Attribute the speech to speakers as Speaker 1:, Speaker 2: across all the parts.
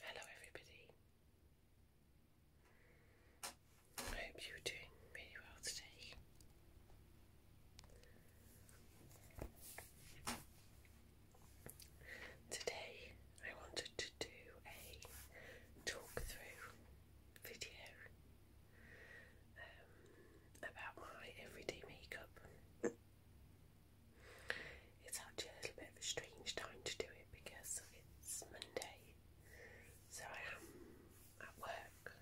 Speaker 1: Hello, everybody. I hope you're doing really well today. Today, I wanted to do a talk through video um, about my everyday makeup. It's actually a little bit of a strange time to do it because it's Monday, so I am at work.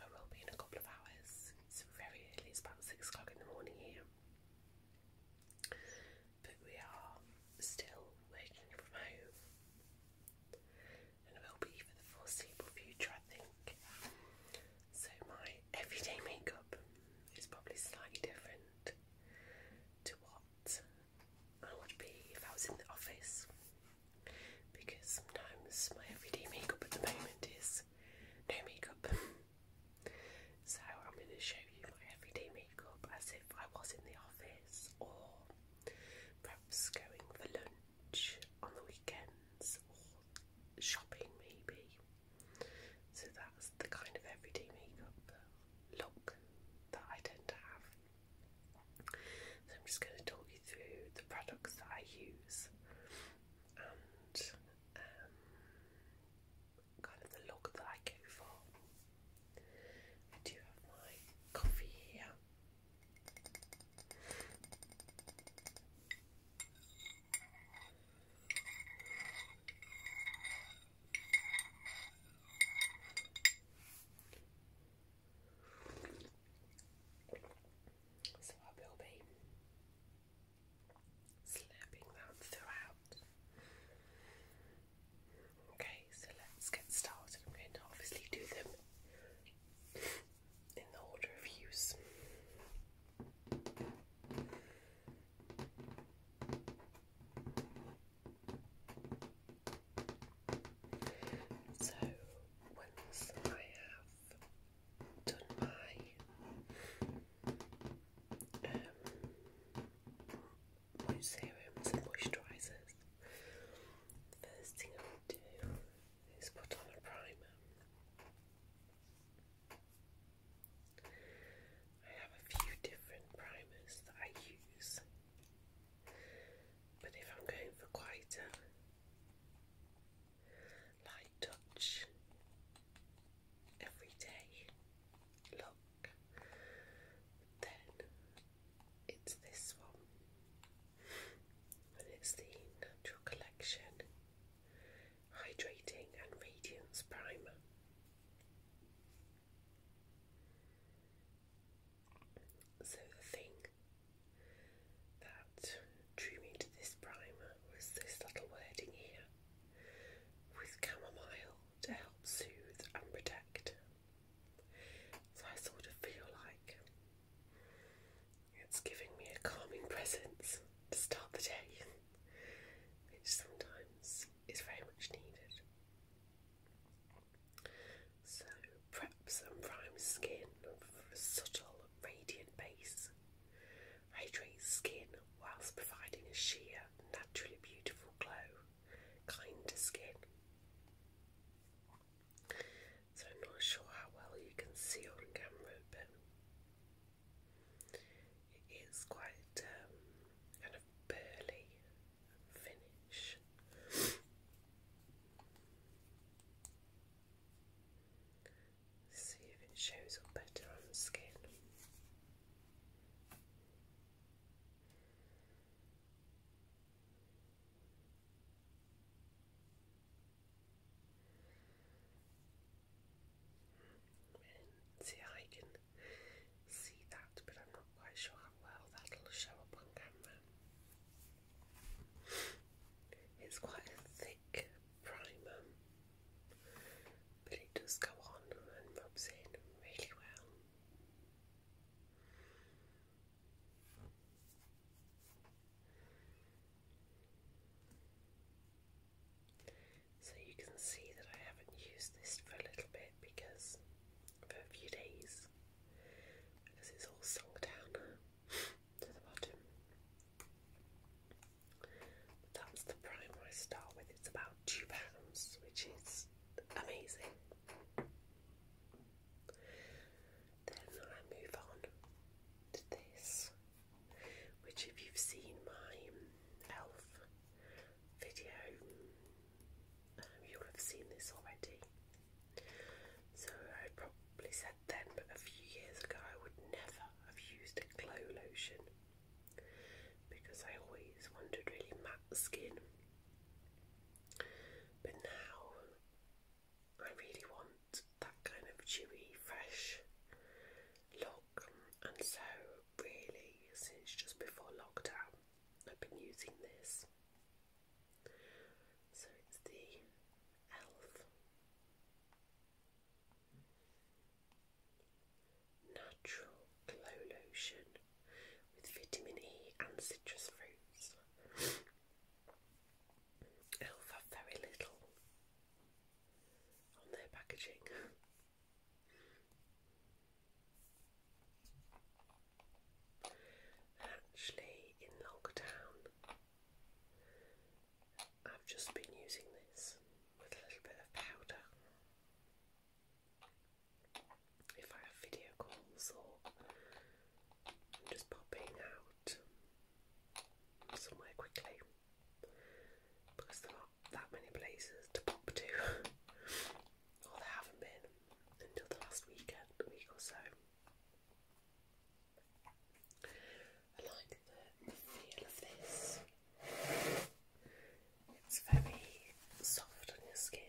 Speaker 1: I will be in a couple of hours. It's very early, it's about six o'clock in the morning here. But we are still working from home and will be for the foreseeable future, I think. So, my everyday makeup is probably slightly different to what I would be if I was in the office because sometimes my everyday makeup at the moment is no makeup. So, I'm going to show you my everyday makeup as if I was in the office or perhaps going for lunch on the weekends or shopping, maybe. So that's the kind of everyday makeup look that I tend to have. So I'm just going to talk you through the products that I use and um, kind of the look that I go for. I do have my coffee here. So I will be slapping that throughout. Okay, so let's get started. I'm going to obviously do them in the order of use. So, once I have done my um, serums and moisturisers, first thing I do is put on a primer. I have a few different primers that I use, but if I'm going for quite a light touch everyday look, then it's this one, and it's the Natural Collection Hydrating and Radiance Primer. So, the thing that drew me to this primer was this little wording here with chamomile to help soothe and protect. So, I sort of feel like it's giving me a calming presence to start the day. which sometimes is very much needed. So, prep some prime skin for a subtle, radiant base. hydrate skin whilst providing a sheer, naturally beautiful glow, kind to skin. So, not sure how well you can see on camera, but it is quite um, kind of burly finish. See if it shows up better on the skin see, I can see that, but I'm not quite sure how well that'll show up on camera. It's quite a thick primer, but it does go on and rubs in really well. So you can see that I haven't used this for a little bit because for a few days because it's all sunk down to the bottom. that's the primer I start with. It's about two pounds, which is amazing. Then I move on to this which if you've seen my um, elf video um, you'll have seen this already so I probably said then but a few years ago I would never have used a glow lotion because I always wanted really matte skin but now I really want that kind of dewy, fresh look. And so, really, since just before lockdown, I've been using this. So it's the ELF Natural Glow Lotion with vitamin E and citrus fruits. ELF have very little on their packaging. actually, in lockdown, I've just been using this with a little bit of powder. If I have video calls or I'm just popping out somewhere quickly because there aren't that many places to pop to, or there haven't been until the last weekend, week or so. I like the, feel of this. It's very soft on your skin.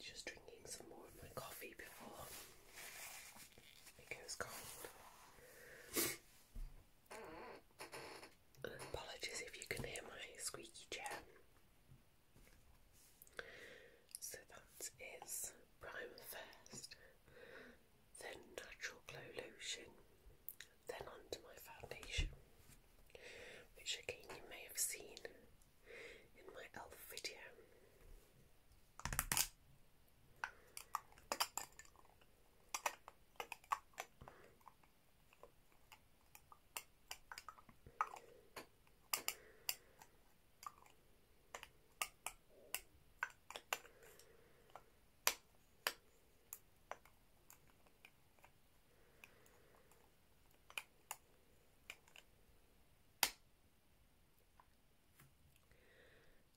Speaker 1: Just drinking some more of my coffee before it goes cold. apologies if you can hear my squeaky chair. So that is Primer first, then Natural Glow Lotion, then onto my foundation, which again you may have seen in my e.l.f. video.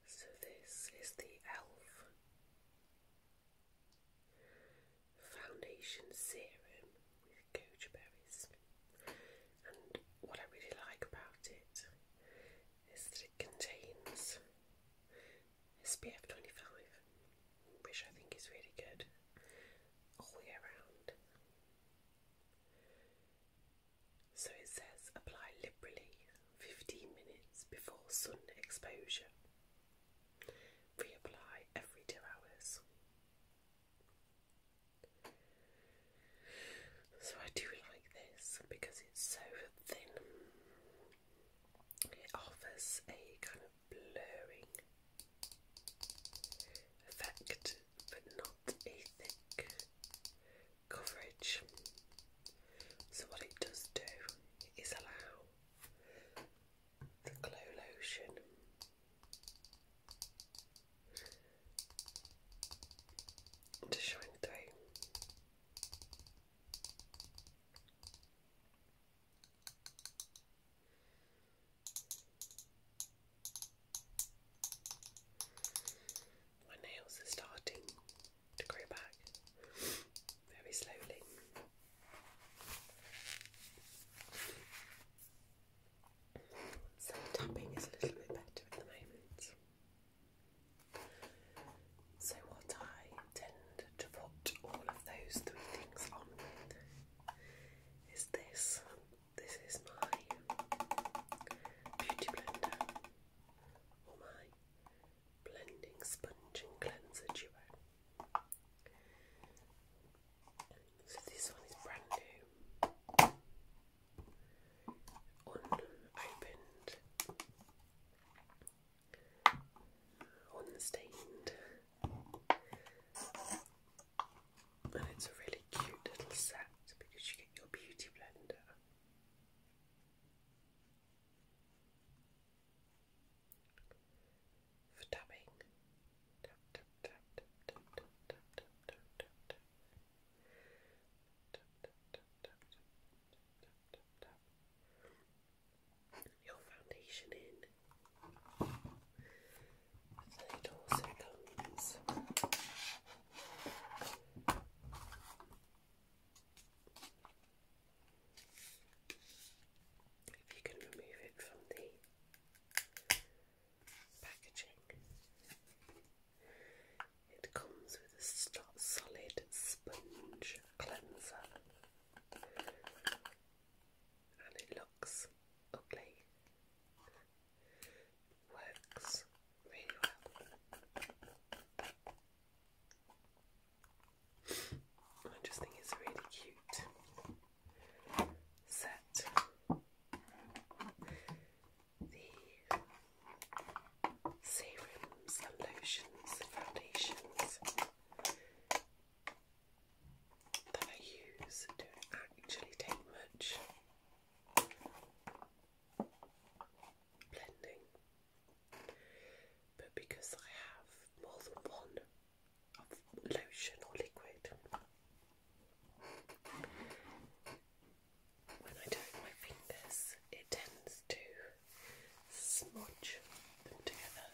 Speaker 1: So, this is the e.l.f. Foundation Serum goji berries. And what I really like about it is that it contains SPF 25, which I think is really good all year round. So it says apply liberally 15 minutes before sun exposure. Reapply every two hours. So I do like this because it's so thin. It offers a kind of blurring effect but not a thick coverage. So what it does do is allow the glow lotion to shine through. My nails are starting to grow back very slowly. So tapping is a little bit better at the moment. So what I tend to put all of those three things on is this. This is my beauty blender or my blending sponge and cleanser duo. So this one is brand new. Unopened. Unstained. And it's a really cute little set because you get your beauty blender. For dabbing, your foundation in. it also comes if you can remove it from the packaging. It comes with a solid sponge cleanser and it looks ugly. Works really well. I just think it's really cute set the serums lotions foundations that I use do actually take much blending but because I have more than one lotion or liquid when I do my fingers, it tends to smudge them together.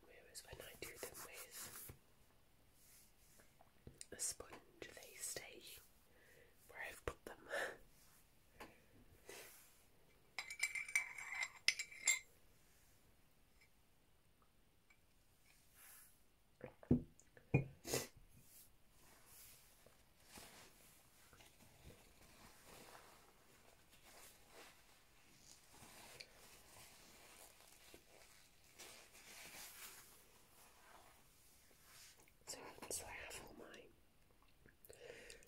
Speaker 1: Whereas when I do them with a sponge, they stay where I've put them. So, so I have all my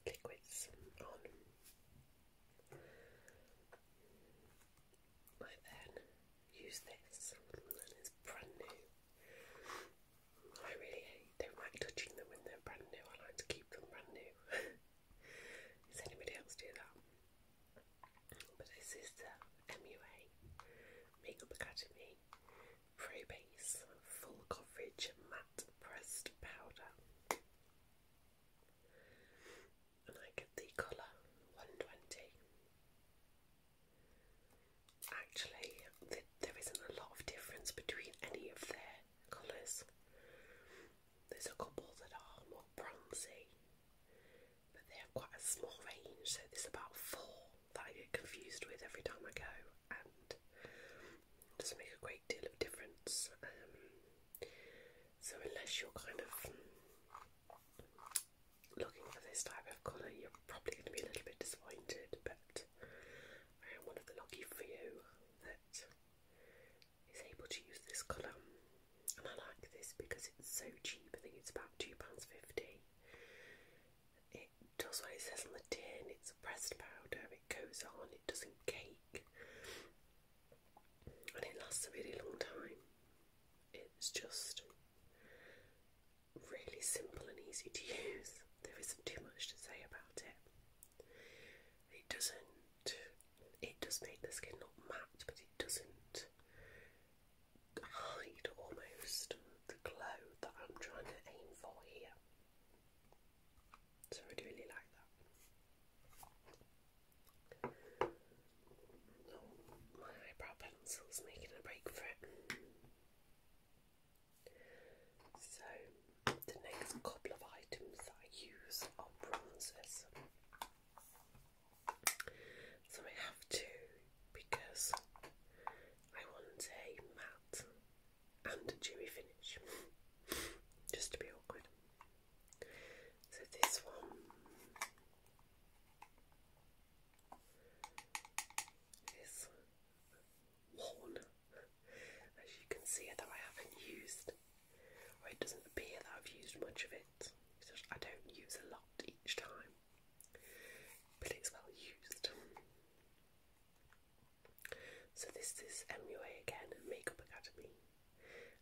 Speaker 1: liquids on. I then use this, and it's brand new. I really hate, don't like touching them when they're brand new. I like to keep them brand new. Does anybody else do that? But this is the MUA Makeup Academy Pro Base Full Coverage Matte Pressed Powder. And I get the colour 120. Actually, there isn't a lot of difference between any of their colours. There's a couple that are more bronzy, but they have quite a small range, so there's about four that I get confused with every time I go and doesn't make a great deal of difference. Um, so unless you're kind of looking for this type of colour, you're probably going to be a little bit disappointed. But I am one of the lucky few that is able to use this colour, and I like this because it's so cheap. I think it's about two pounds fifty it does what it says on the tin, it's a pressed powder, it goes on, it doesn't cake, and it lasts a really long time. It's just really simple and easy to use. There isn't too much to say about it. It doesn't, it does make the skin look matte, but it doesn't hide almost the glow that I'm trying to aim for here. So I really like that. Oh, my eyebrow pencil's making a break for it. So the next couple of items that I use are bronzers. So I have two because I want a matte and Jimmy finish, just to be awkward. So this one is worn, as you can see, though I haven't used, or it doesn't appear that I've used much of it. I don't use a lot each time, but it's well used. So this is MUA again, Makeup Academy,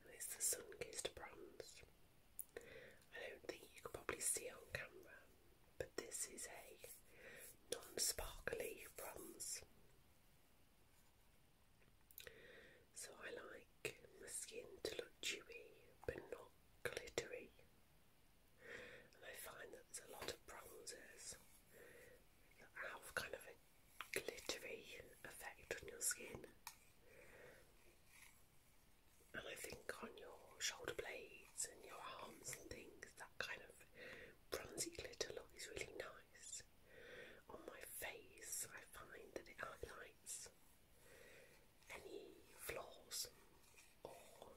Speaker 1: and it's the Sun Kissed Bronze. I don't think you could probably see it on camera, but this is a non-sparkly bronze. So I like my skin to look dewy but not glittery. And I find that there's a lot of bronzers have kind of a glittery effect on your skin. And I think on your shoulder blades and your arms and things, that kind of bronzy glitter look is really nice. On my face, I find that it highlights any flaws or,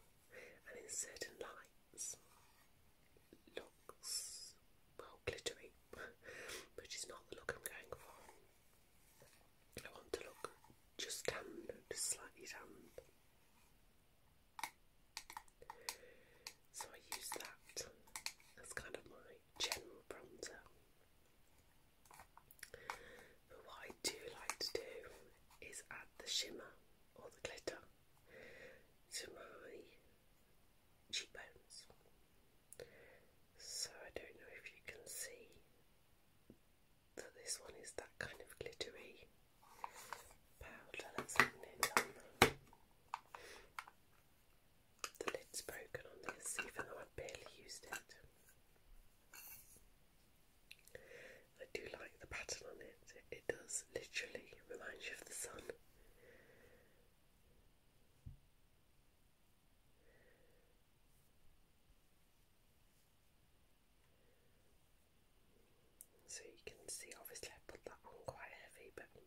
Speaker 1: and in certain light, looks well glittery, which is not the look I'm going for. I want to look just tan, just slightly tan. So I use that as kind of my general bronzer. But what I do like to do is add the shimmer or the glitter to my cheekbones. So I don't know if you can see that this one is that kind of glittery powder. Let's open it The lid's broken on this, even though I barely used it. I do like the pattern on it. It does literally remind you of the sun. So you can see, obviously, I put that on quite heavy, but you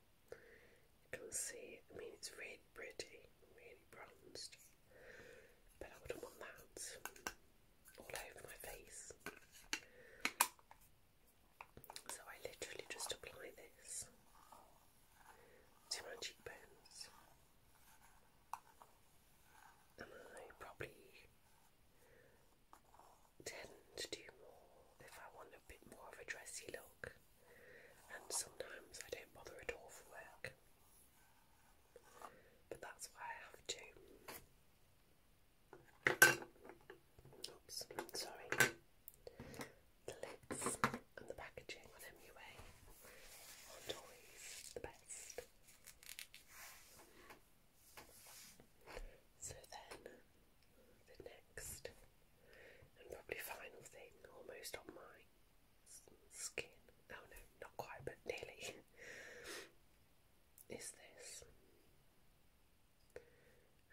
Speaker 1: can see, I mean, it's really pretty, really bronzed, but I wouldn't want that all over my face. So I literally just apply this to my cheekbones. And I probably tend to do more if I want a bit more of a dressy look. And sometimes I don't bother at all for work. But that's why I have to. Oops, sorry. The lids and the packaging on are always the best. So then, the next and probably final thing, almost on my skin. Oh no, not quite, but nearly is this,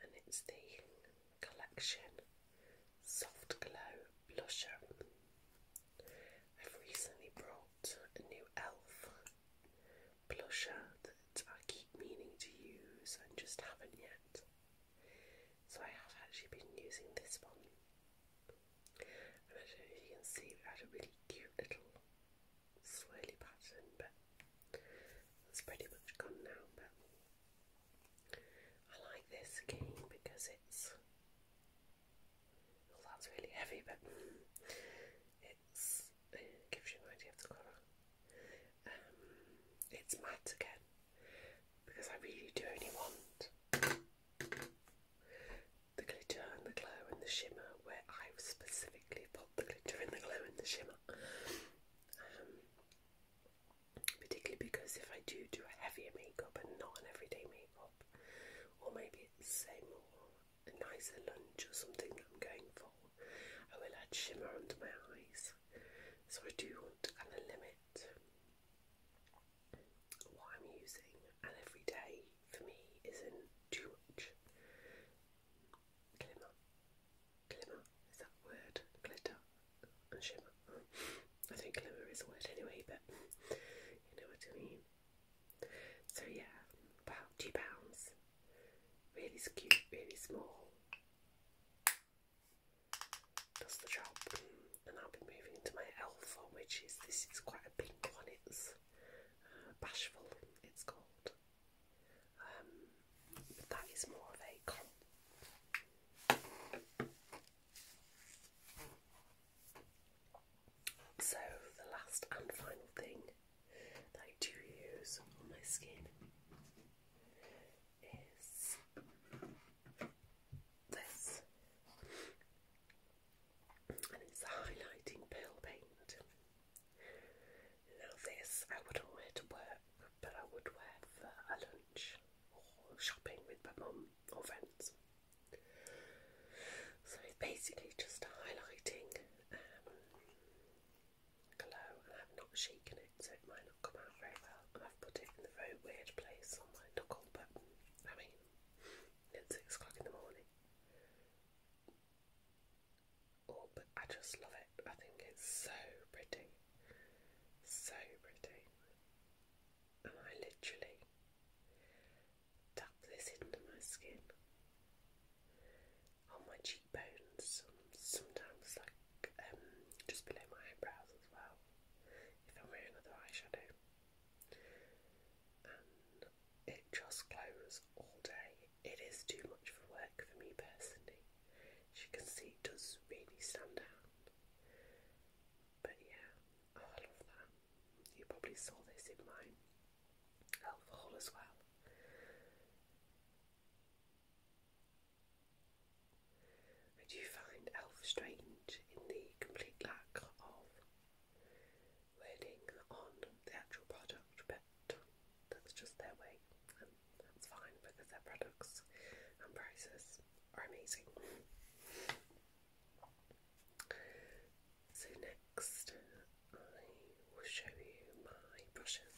Speaker 1: and it's the Collection Soft Glow Blusher. I've recently brought a new e.l.f. blusher that I keep meaning to use and just haven't yet. So I have actually been using this one. I am not sure if you can see, we had a really cute little swirly pattern, but that's pretty much gone now. But I like this again because it's well, that's really heavy, but it's gives you an idea of the colour. Um, it's matte again because I really do only want the glitter and the glow and the shimmer where I've specifically the glitter and the glow and the shimmer. Um, particularly because if I do do a heavier makeup and not an everyday makeup, or maybe it's a more a nicer lunch or something that I'm going for, I will add shimmer under my eyes. So I do want to kind of limit what I'm using, and every day for me isn't too much glimmer, glimmer is that word, glitter and shimmer. I think glimmer is a word anyway, but you know what I mean. So yeah, about two pounds, really cute, really small. Does the job, mm. and I'll be moving into my alpha, which is this is quite a pink one. It's uh, bashful. It's called. Um, that is more of a So, the last and final thing that I do use on my skin is this and it's a highlighting pearl paint. Now this I wouldn't wear to work, but I would wear for a lunch or shopping with my mum or friends. So it's basically just a highlighting um, glow I've not shaken it so it might not come out very well I've put it in a very weird place on my knuckle but I mean it's 6 o'clock in the morning. Oh, up. I just love it. I think it's so pretty. So pretty. And I literally tap this into my skin, on my cheekbones, sometimes like um, just below my eyebrows as well, if I'm wearing another eyeshadow and it just glows all day. It is too much for work for me personally. As you can see, it does really stand out. But yeah, oh, I love that. You probably saw this in my elf haul as well. I do find elf strange in the complete lack of wording on the actual product, but that's just their way, and that's fine because their products and prices are amazing. So, next, I will show you my brushes,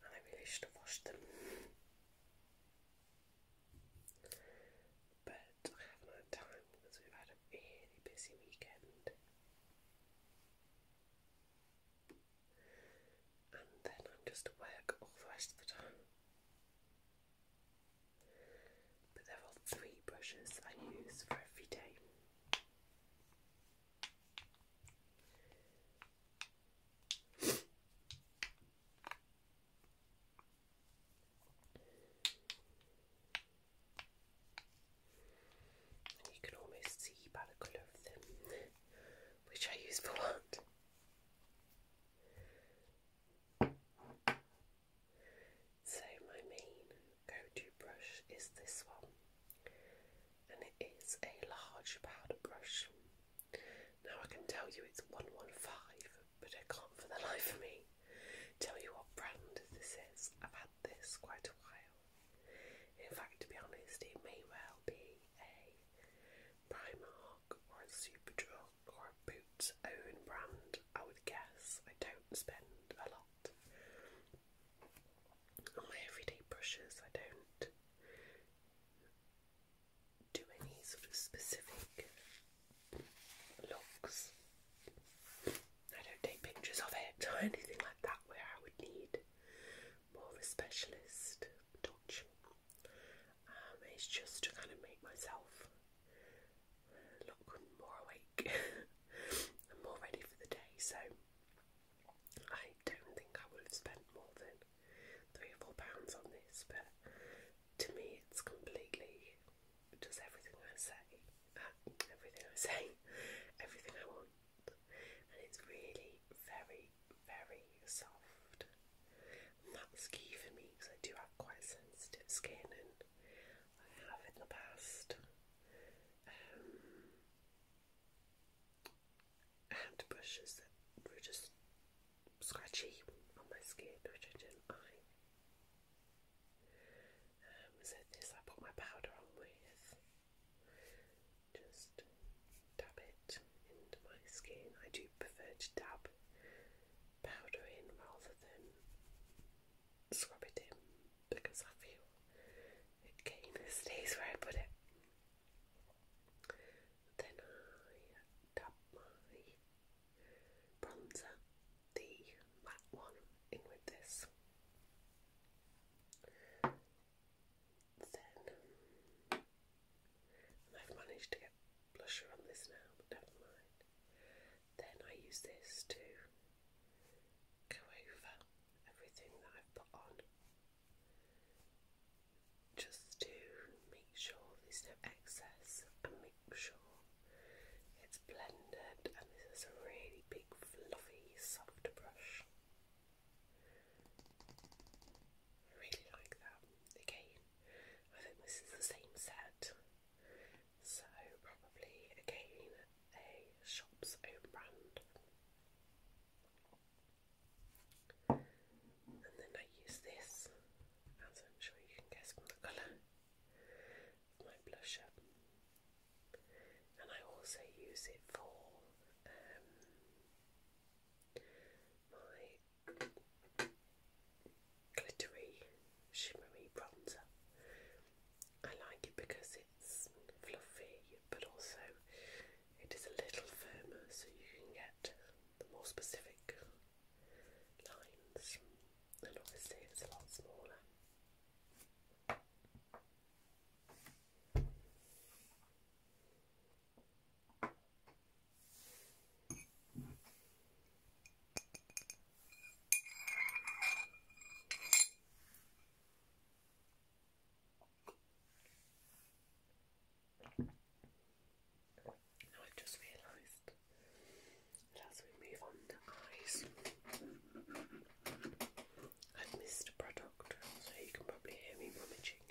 Speaker 1: I really should have washed them. But I haven't had time because we've had a really busy weekend and then I'm just awake all the rest of the time. But there are three brushes I use for every day you can almost see by the colour of them which I use for what. So, my main go to brush is this one, and it is a large powder brush. Now, I can tell you it's 115, but I can't for the life of me tell you what brand this is. I've this quite a while. In fact, to be honest, it may well be a Primark or a Superdrug or a Boots own brand, I would guess. I don't spend a lot on my everyday brushes, I don't do any sort of specific looks. I don't take pictures of it or anything like that where I would need more of a specialist touch. Um, it's just to kind of make myself look more awake and more ready for the day. So I don't think I would have spent more than three or four pounds on this, but to me, it's completely does everything I say, everything I say, everything I want, and it's really very, very soft. that's key for me because I do have quite sensitive skin, and I have in the past. Um, hand brushes that were just scratchy on my skin, which I didn't like. Um, this I put my powder on with. Just dab it into my skin. I do prefer to dab powder in rather than scrub it in because I feel it kind of stays where I put it. Then I dab my bronzer the matte one in this. Then, I've managed to get blusher on this now, but never mind. Then I use this to go over everything that I've put on, just to make sure there's no excess and make sure it's blended, and this is a really big, fluffy, soft brush. really like that. Again, I think this is the same set, so probably again a shop's own brand. And then I use this, as I'm sure you can guess from the colour, my blusher and I also use it for um, my glittery, shimmery bronzer. I like it because it's fluffy, but also it is a little firmer, so you can get the more specific lines. And obviously, it's a lot smaller. Now i just realised as we move on to eyes, I've missed a product, so you can probably hear me rummaging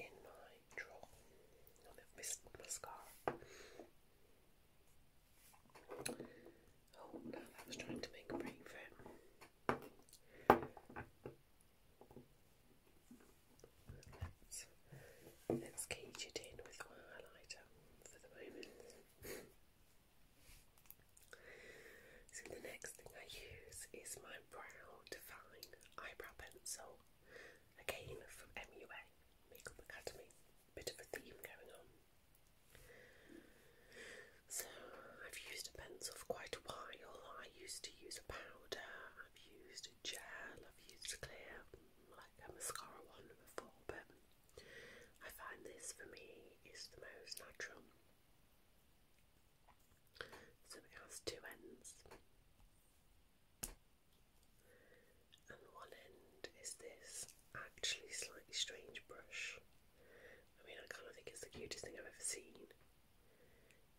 Speaker 1: in my drawer. I've missed mascara. Oh, now that was trying to make a break for it. Let's, let it in with my highlighter for the moment. so the next thing I use is my Brow Define eyebrow pencil, again from MUA Makeup Academy. Bit of a theme going on. So I've used a pencil for quite a while. I used to use a powder. I've used a gel. I've used a clear, like a mascara one before, but I find this for me is the most natural. So it has two ends, and one end is this actually slightly strange brush. I mean, I kind of think it's the cutest thing I've ever seen,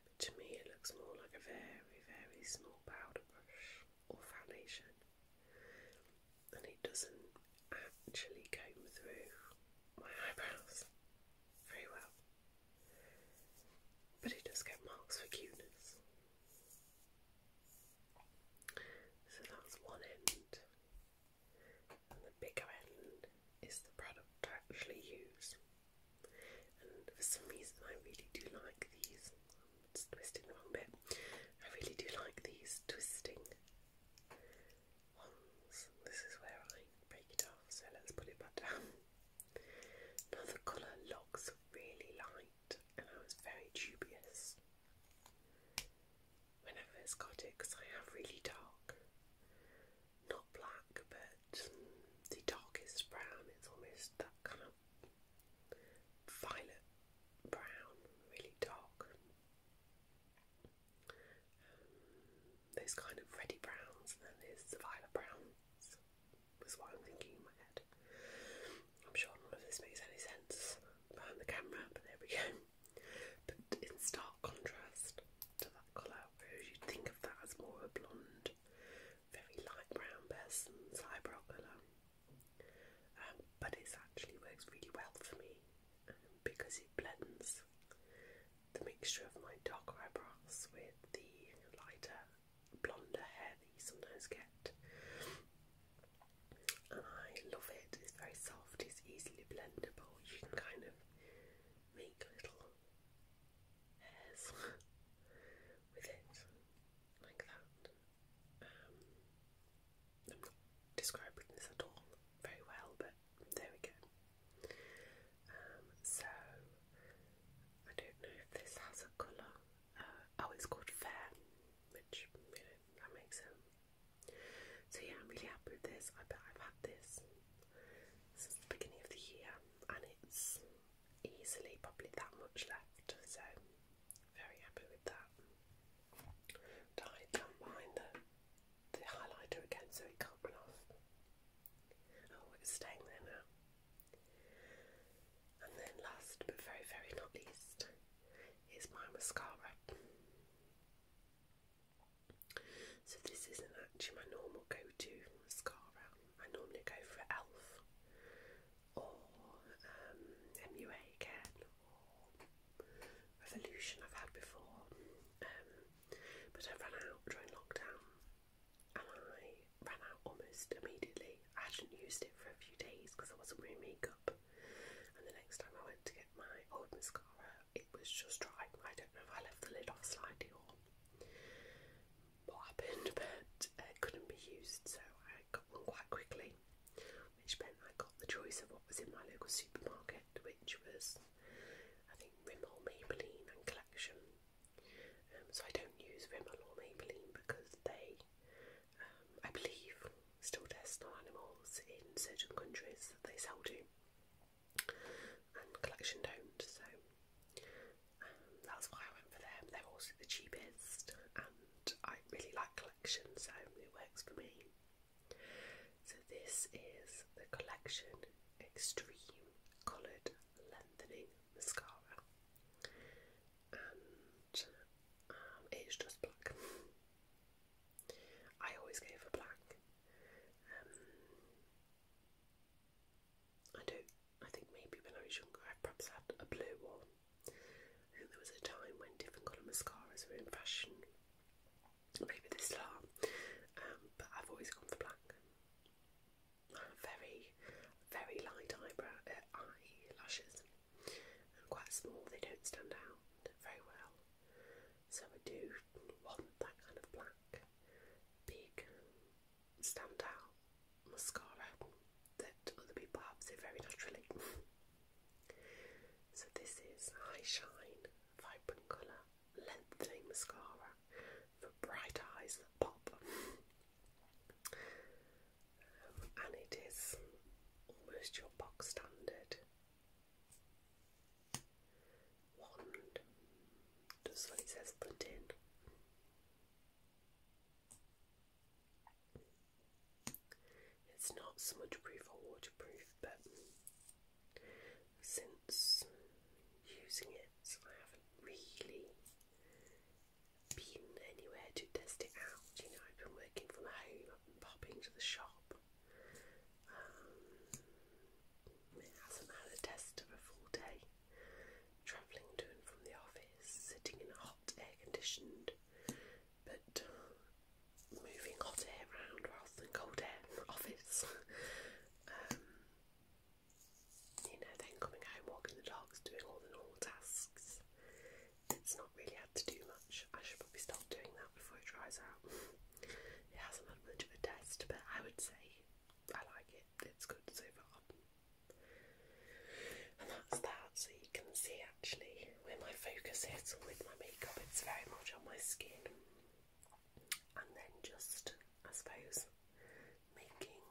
Speaker 1: but to me, it looks more like a very, very small powder brush or foundation and it doesn't actually comb through my eyebrows very well. But it does get marks for cuteness. So that's one end. And the bigger end is the product I actually use. And for some reason I really do like these twisting the wrong bit. I really do like these twisting ones. This is where I break it off, so let's put it back down. Now the colour looks really light and I was very dubious when I first got it because I have really dark, not black, but the darkest brown. It's almost that kind violet brown, really dark. Um, those kind of reddy browns, and there's the violet browns, was what I'm thinking in my head. I'm sure none of this makes any sense behind the camera, but there we go. But in stark contrast to that colour, you'd think of that as more a blonde, very light brown person's eyebrow colour um, but it actually works really well for me um, because it blends the mixture of my darker eyebrows with the lighter, blonder hair that you sometimes get. And I love it, it's very soft, it's easily blendable, you can kind of make little hairs with it, like that. I'm not describing this at all very well, but there we go. Um, so I don't know if this has a colour. Uh, oh, it's called Fair, which that makes sense. So yeah, I'm really happy with this. I bet I've had this since the beginning of the year, and it's easily probably that much left. So very happy with that. Dye down behind the, the highlighter again so it can't run off. Oh, it's staying there now. And then last but very, very not least is my mascara. So this isn't actually my normal go-to mascara. I normally go for e.l.f or um, MUA again or Revolution I've had before um, but I ran out during lockdown and I ran out almost immediately. I hadn't used it for a few days because I wasn't wearing makeup and the next time I went to get my old mascara it was just dry. I don't know if I left the lid off slightly or what happened but it couldn't be used so I got one quite quickly which meant I got the choice of what was in my local supermarket, which was, I think, Rimmel, Maybelline, and Collection. Um, so I don't use Rimmel or Maybelline because they, um, I believe, still test on animals in certain countries that they sell to, and Collection don't. So um, that's why I went for them. They're also the cheapest and I really like collections, so it works for me. So, this is the Collection Extreme Coloured Lengthening Mascara, and um, it's just black. I always go for black. Um, I do I think maybe when I was younger, I perhaps had a blue one, I think there was a time when different colour mascaras were in fashion. Maybe they still are, um, but I've always gone for black. Very, very light eyebrow uh, eyelashes, and quite small. They don't stand out very well. So I do want that kind of black, big, stand out mascara that other people have, so very naturally. so this is High Shine Vibrant Colour Lengthening Mascara for bright eyes that pop. Um, and it is almost your box standard wand, does what it says put in. It's not smudge proof or waterproof, but since using it, I haven't really been anywhere to test it out. You know, I've been working from home, i popping to the shop. Um, it hasn't had a test of a full day. Travelling to and from the office, sitting in a air conditioned, but uh, moving hot air around rather than cold air office. Um, you know, then coming home, walking the dogs, doing all the normal tasks. It's not really had to do much. I should probably stop doing that before it dries out. it hasn't had much of a test, but I would say I like it. It's good so far. And that's that, so you can see actually where my focus is with my makeup, it's very much on my skin. And then just, I suppose, making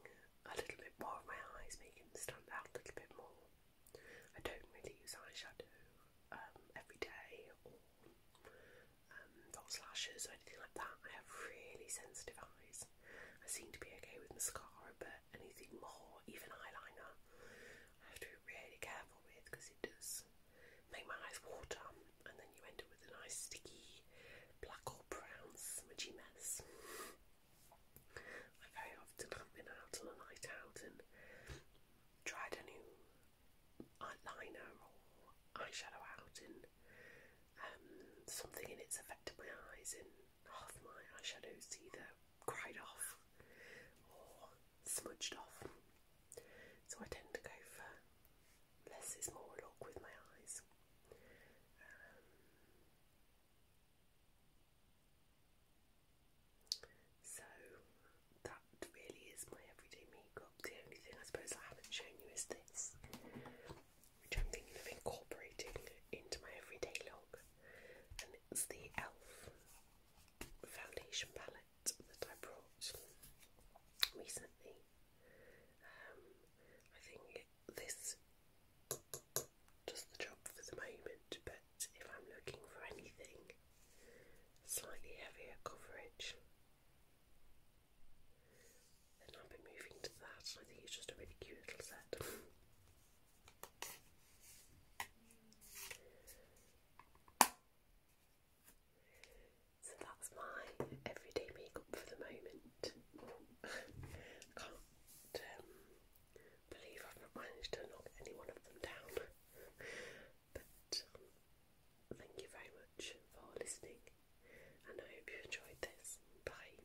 Speaker 1: a little bit more of my eyes, making them stand out a little bit more. I don't really use eyeshadow um, every day or um, false lashes or anything like that. I have really sensitive eyes, I seem to be okay with mascara, but anything more, even eyeliner, I have to be really careful with because it does make my eyes water, and then you end up with a nice sticky black or brown smudgy mess. I very often have out on a night out and tried a new eyeliner or eyeshadow out, and um, something in it's affected my eyes, and half my eyeshadows either cried off or smudged off. So I tend to go for less is more look with my eyes. Um, so that really is my everyday makeup. The only thing I suppose I haven't shown you is this which I'm thinking of incorporating into my everyday look, and it's the e.l.f. foundation palette that I brought recently. Um, I think this does the job for the moment, but if I'm looking for anything slightly heavier coverage, then I'll be moving to that. I think it's just a really cute little set. So that's my everyday makeup for the moment. can't um, believe I've not managed to knock any one of them down. but um, thank you very much for listening, and I hope you enjoyed this. Bye.